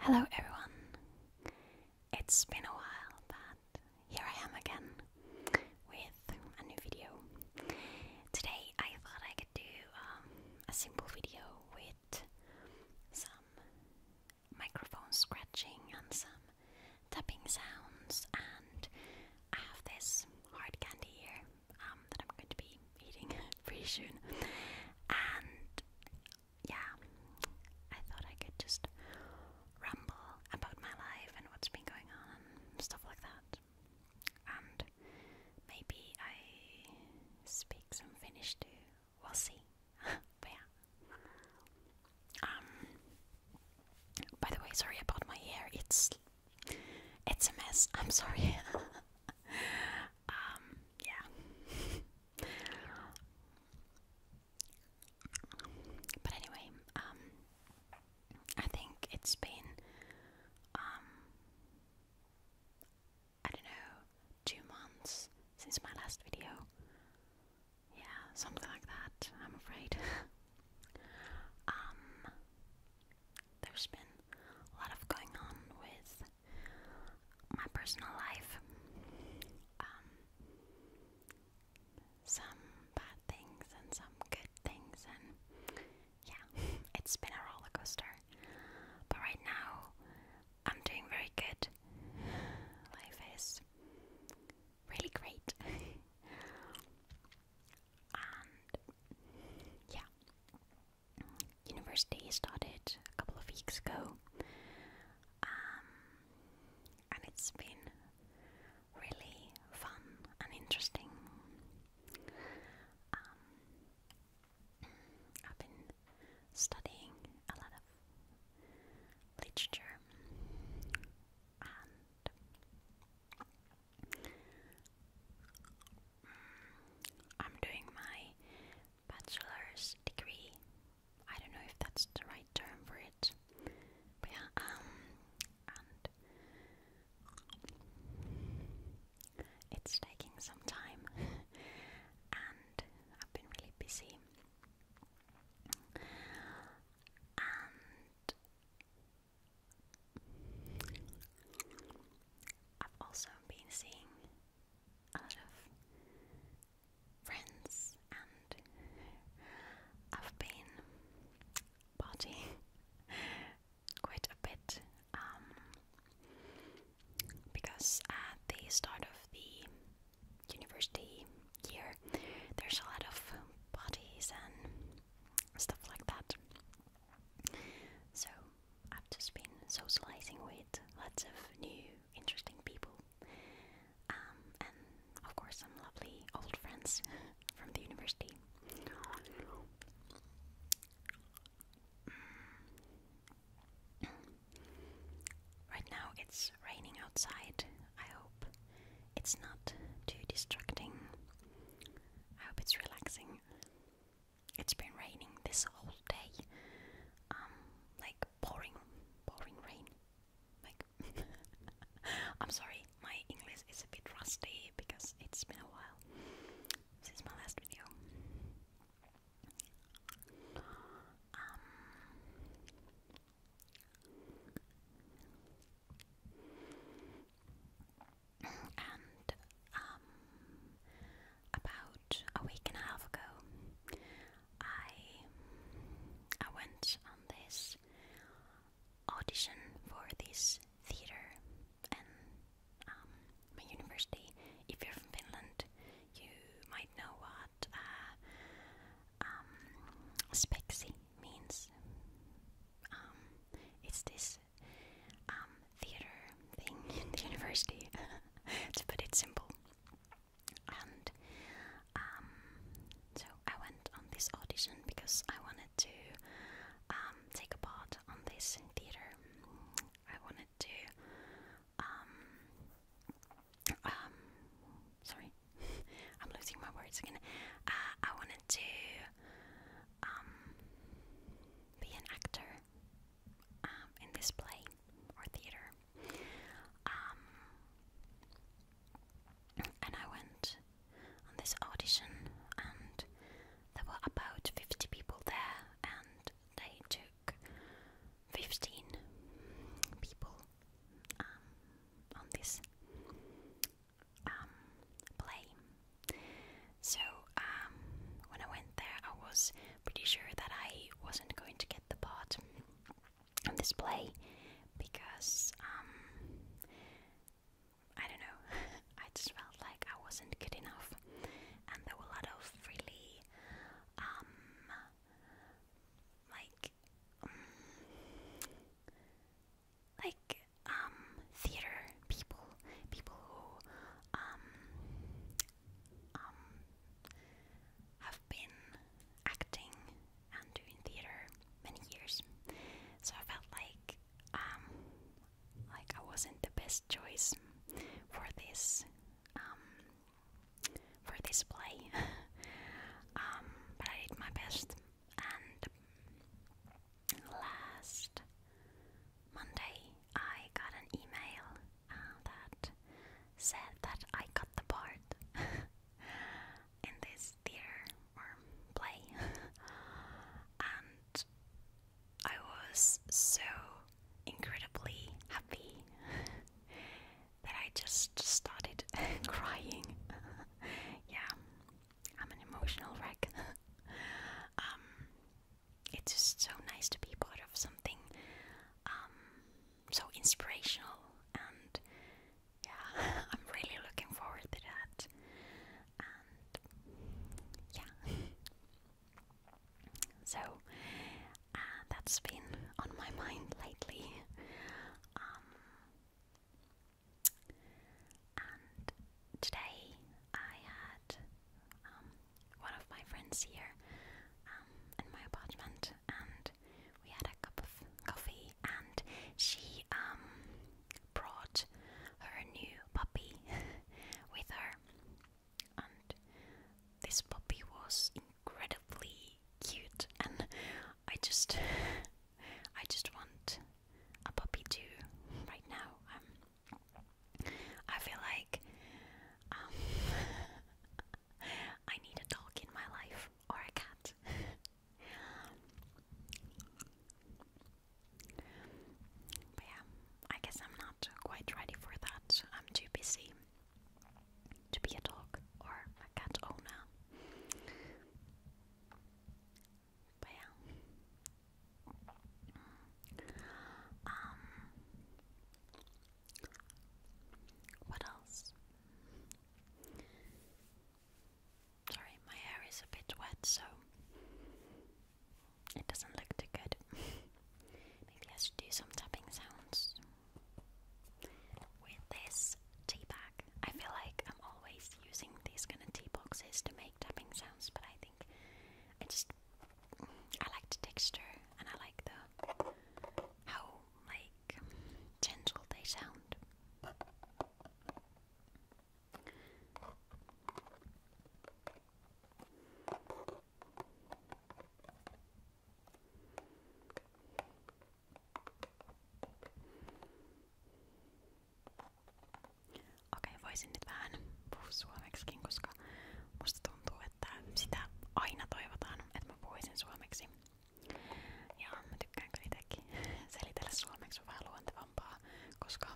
Hello everyone. It's been a while, but here I am again with a new video. Today I thought I could do um, a simple video with some microphone scratching and some tapping sounds, and I have this hard candy here um, that I'm going to be eating. pretty soon. And yeah, I thought I could just ramble about my life and what's been going on stuff like that. And maybe I speak some Finnish too. We'll see. but yeah. Um by the way, sorry about my hair. It's it's a mess. I'm sorry. Um, yeah. but anyway, um, I think it's been, um, I don't know, two months since my last video. Yeah, something like that, I'm afraid. um, there's been a lot of going on with my personal life, um, some bad things and some good things, and yeah, it's been a roller coaster. But right now, I'm doing very good. Life is really great. and yeah, university started a couple of weeks ago, um, and it's been really fun and interesting. Um, I've been studying a lot of literature I'm doing my bachelor's degree. I don't know if that's the right term for it. But yeah, um, it's taking some time, and I've been really busy. And I've also been seeing a lot of friends, and I've been partying quite a bit um, because at the start of the university year, there's a lot of parties and stuff like that. So I've just been socializing with lots of new, interesting people, um, and of course some lovely old friends from the university. Mm. Right now it's raining outside. I hope it's not too distracting. I hope it's relaxing. It's been raining this whole day. Um, like pouring, pouring rain. Like, I'm sorry, my English is a bit rusty because it's been a while since my last video. Um, and um, about a week and a half ago, I I went on this audition for this theater, and um, my university. If you're from Finland, you might know what uh, um, speksi means. it's this um, theater thing the university, to put it simple. And um, so I went on this audition because I wanted to um, take a part on this theater. I wanted to, sorry, I'm losing my words again. Uh, I wanted to um, be an actor um, in this play or theater. Um, and I went on this audition, and there were about 50 people there, and they took 15 people um, on this um, play. So um, when I went there, I was pretty sure that I wasn't going to get the part on this play because um, I don't know, I just felt like I wasn't good enough, and there were a lot of really um, like like um theater people, people who um um have been acting and doing theater many years. So I felt like um like I wasn't the best choice for this um for this play. um but I did my best and last Monday I got an email uh, that said that I got the part in this theater or play, and I was so incredibly happy that I just started crying. yeah, I'm an emotional wreck. Um, it's just so nice to be part of something um, so inspirational, and yeah, I'm really looking forward to that. And yeah, so uh, that's been on my mind lately. Um, and today I had um, one of my friends here um, in my apartment, and we had a cup of coffee, and she um, brought her new puppy with her. And this puppy was incredibly cute, and I just I just want a puppy too right now. Um, I feel like um, I need a dog in my life or a cat. but yeah, I guess I'm not quite ready for that. I'm too busy to be a dog or a cat owner. But yeah. Um what else? Sorry, my hair is a bit wet, so it doesn't look too good. Maybe I should do some tapping sounds with this tea I feel like I'm always using these kind of tea boxes to make tapping sounds, but I think I just I like the texture and I like the how like gentle they sound. Okei, voisin nyt vähän puhua suomeksikin, koska musta tuntuu, että sitä aina toivotaan, että mä puhuisin suomeksi. Ja mä tykkään kyllä itsekin selitellä suomeksi on vähän luontevampaa, koska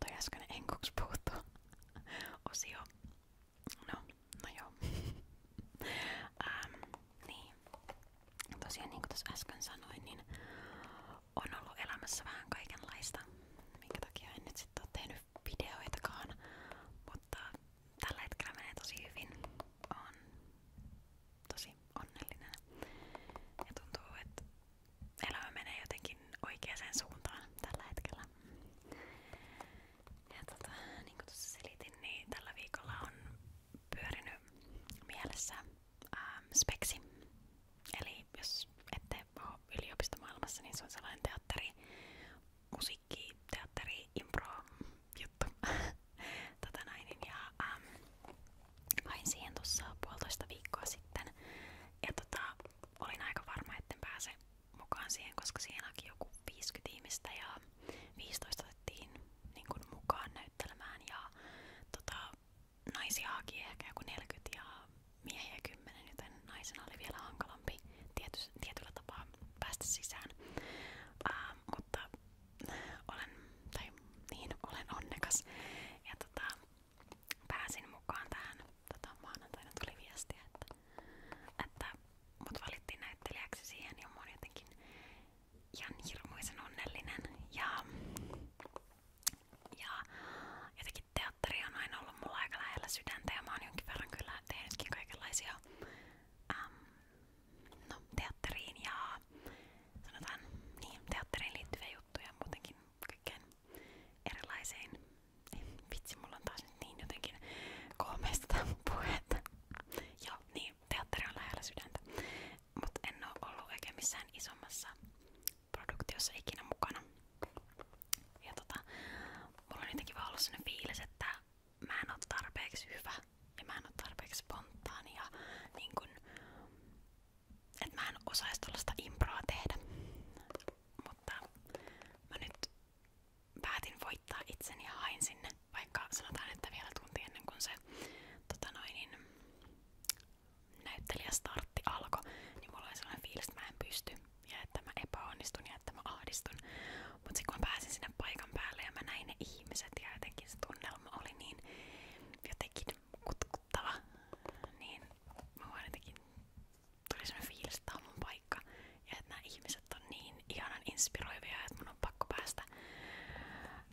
toi äsken enkuks puhuttu osio. No, no joo. ähm, niin tosiaan niin kuin äsken sanoin, niin on ollut elämässä vähän kaikenlaista, minkä takia en nyt sitten ole tehnyt videoitakaan, mutta tällä hetkellä menee tosi hyvin. On tosi onnellinen ja tuntuu, että elämä menee jotenkin oikeaan suuntaan tällä hetkellä. Ja tota, niin niin tällä viikolla on pyörinyt mielessä ähm, speksi. Eli jos ette ole yliopistomaailmassa, niin se on sellainen teatteri, musiikki, teatteri, impro juttu. tota näin, niin ja ähm, hain siihen tuossa puolitoista viikkoa sitten. Ja tota, olin aika varma, etten pääse mukaan siihen, koska siihen haki joku 50 ihmistä ja 15 otettiin niin kuin mukaan näyttelemään ja tota, naisia haki ehkä joku 40 ja miehiä 10, joten naisena oli vielä hankalampi tiety, tietyllä tapaa päästä sisään. Uh, mutta olen, tai niin, olen onnekas ja tota, pääsin mukaan tähän. Tota, maanantaina tuli viestiä, että, että mut valittiin näyttelijäksi siihen ja mä oon jotenkin ihan hirmuisen onnellinen ja, ja jotenkin teatteri on aina ollut mulla aika lähellä sydäntä ja mä oon jonkin verran kyllä tehnytkin kaikenlaisia äm, no, teatteriin ja sanotaan niin, teatteriin liittyviä juttuja muutenkin kaikkeen erilaisiin. Vitsi, mulla on taas nyt niin jotenkin koomista puhetta. Joo, niin niin teatteri Mutta en ollut oikein missään isommassa produktiossa ikinä mukana. Ja tota, mulla on jotenkin vaan ollut että mä en oo tarpeeksi hyvä ja mä en oo tarpeeksi spontaani ja niin kun, mä en osais tollaista improa tehdä. Mutta mä nyt päätin voittaa itseni ja hain sinne vaikka sanotaan, että vielä tunti ennen kuin se tota noin, niin, näyttelijästartti alkoi, niin mulla oli sellainen fiilis, että mä en pysty ja että mä epäonnistun ja että mä ahdistun. Mutta sitten kun mä pääsin sinne paikan päälle ja mä näin ne ihmiset ja jotenkin se tunnelma oli niin jotenkin kutkuttava, niin mä vaan jotenkin tuli sellainen fiilis, että tää on mun paikka ja että nämä ihmiset on niin niin inspiroivia, että mun on pakko päästä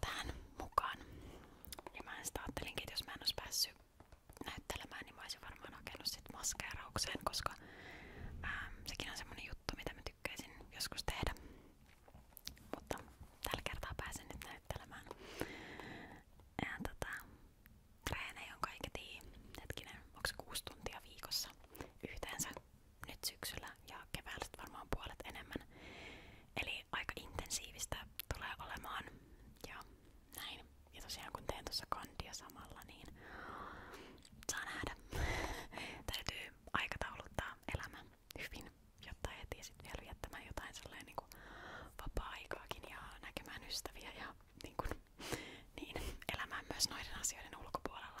tähän mukaan. Ja mä sitten ajattelinkin, että jos mä en olisi päässyt näyttelemään, niin varmaan hakenut sit maskeeraukseen, koska sekin on semmonen juttu, mitä mä tykkäisin joskus tehdä. Mutta tällä kertaa pääsen nyt näyttelemään. Ja tota, treenejä on kaiketi, hetkinen, onko kuusi tuntia viikossa yhteensä, nyt syksyllä ja keväällä varmaan puolet enemmän. Eli aika intensiivistä tulee olemaan ja näin. Ja tosiaan kun teen tuossa kandia samalla, niin saa nähdä. Täytyy aikatauluttaa elämä hyvin, jotta ehtii sitten vielä viettämään jotain sellainen niin kuin vapaa-aikaakin ja näkemään ystäviä ja niin, niin elämään myös noiden asioiden ulkopuolella.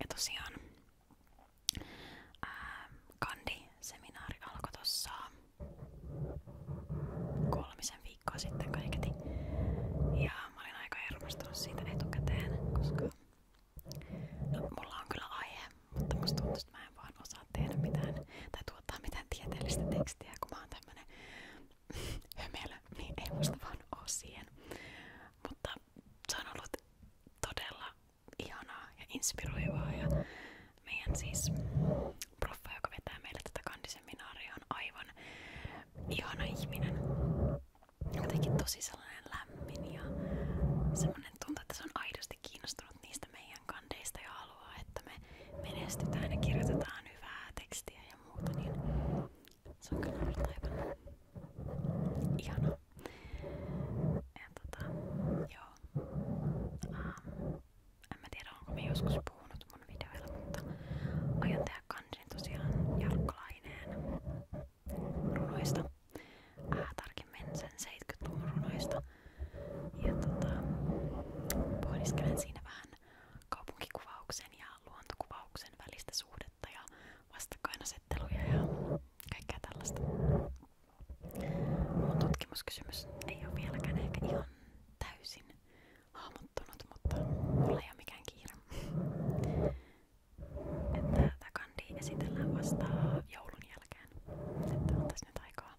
Ja tosiaan ää, Kandi-seminaari alkoi tossa kolmisen viikkoa sitten kaiketi. Ja mä olin aika hermostunut siitä etukäteen, koska no, mulla on kyllä aihe, mutta musta tuntuu, että mä en vaan osaa tehdä mitään tai tuottaa mitään tieteellistä tekstiä, kun mä oon tämmönen hömelö, niin ei musta vaan oo siihen. Mutta se on ollut todella ihanaa ja inspiroivaa ja meidän siis proffa, joka vetää meille tätä kandiseminaaria on aivan ihana ihminen. Jotenkin tosi sellainen lämmin ja semmonen tuntuu, että se on aidosti kiinnostunut niistä meidän kandeista ja haluaa, että me menestytään ja kirjoitetaan hyvää tekstiä ja muuta, niin se on kyllä ollut aivan ihana. Tota, joo. Um, tiedä, onko mä joskus puhunut mun mutta aion tehdä tosiaan Jarkkalaineen runoista. Äh, tarkemmin sen 70-luvun runoista. Ja tota, pohdiskelen siinä vähän kaupunkikuvauksen ja luontokuvauksen välistä suhdetta ja vastakkainasetteluja ja kaikkea tällaista. Mun tutkimuskysymys ei ole vieläkään ihan täysin hahmottunut, mutta mulla ei mikään kiire. Että tämä kandi esitellään vasta joulun jälkeen. Että on tässä nyt aikaa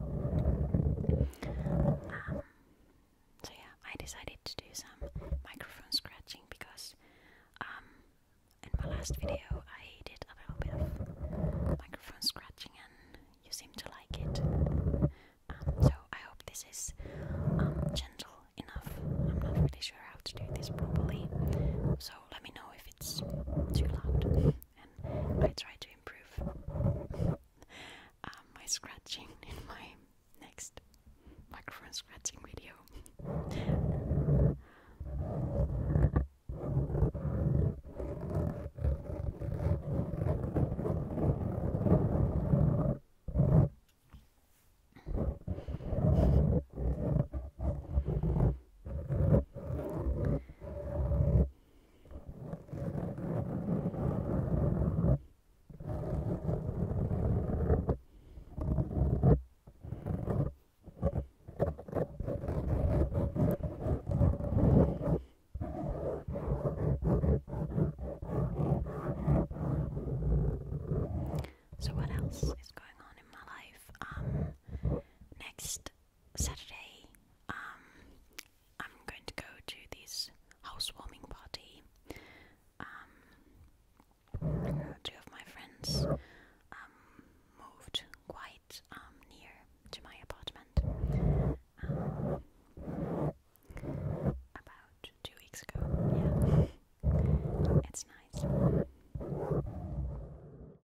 so yeah, I decided to do some microphone scratching because um, in my last video I did a little bit of microphone scratching and you seem to like it. Um, so I hope this is um, gentle enough. I'm not really sure how to do this properly, so let me know if it's too loud. I try to improve uh, my scratching in my next microphone scratching video. So what else is going on in my life? Um next Saturday, um, I'm going to go to this housewarming party. Um, two of my friends um, moved quite um, near to my apartment. Um, about two weeks ago, yeah. It's nice.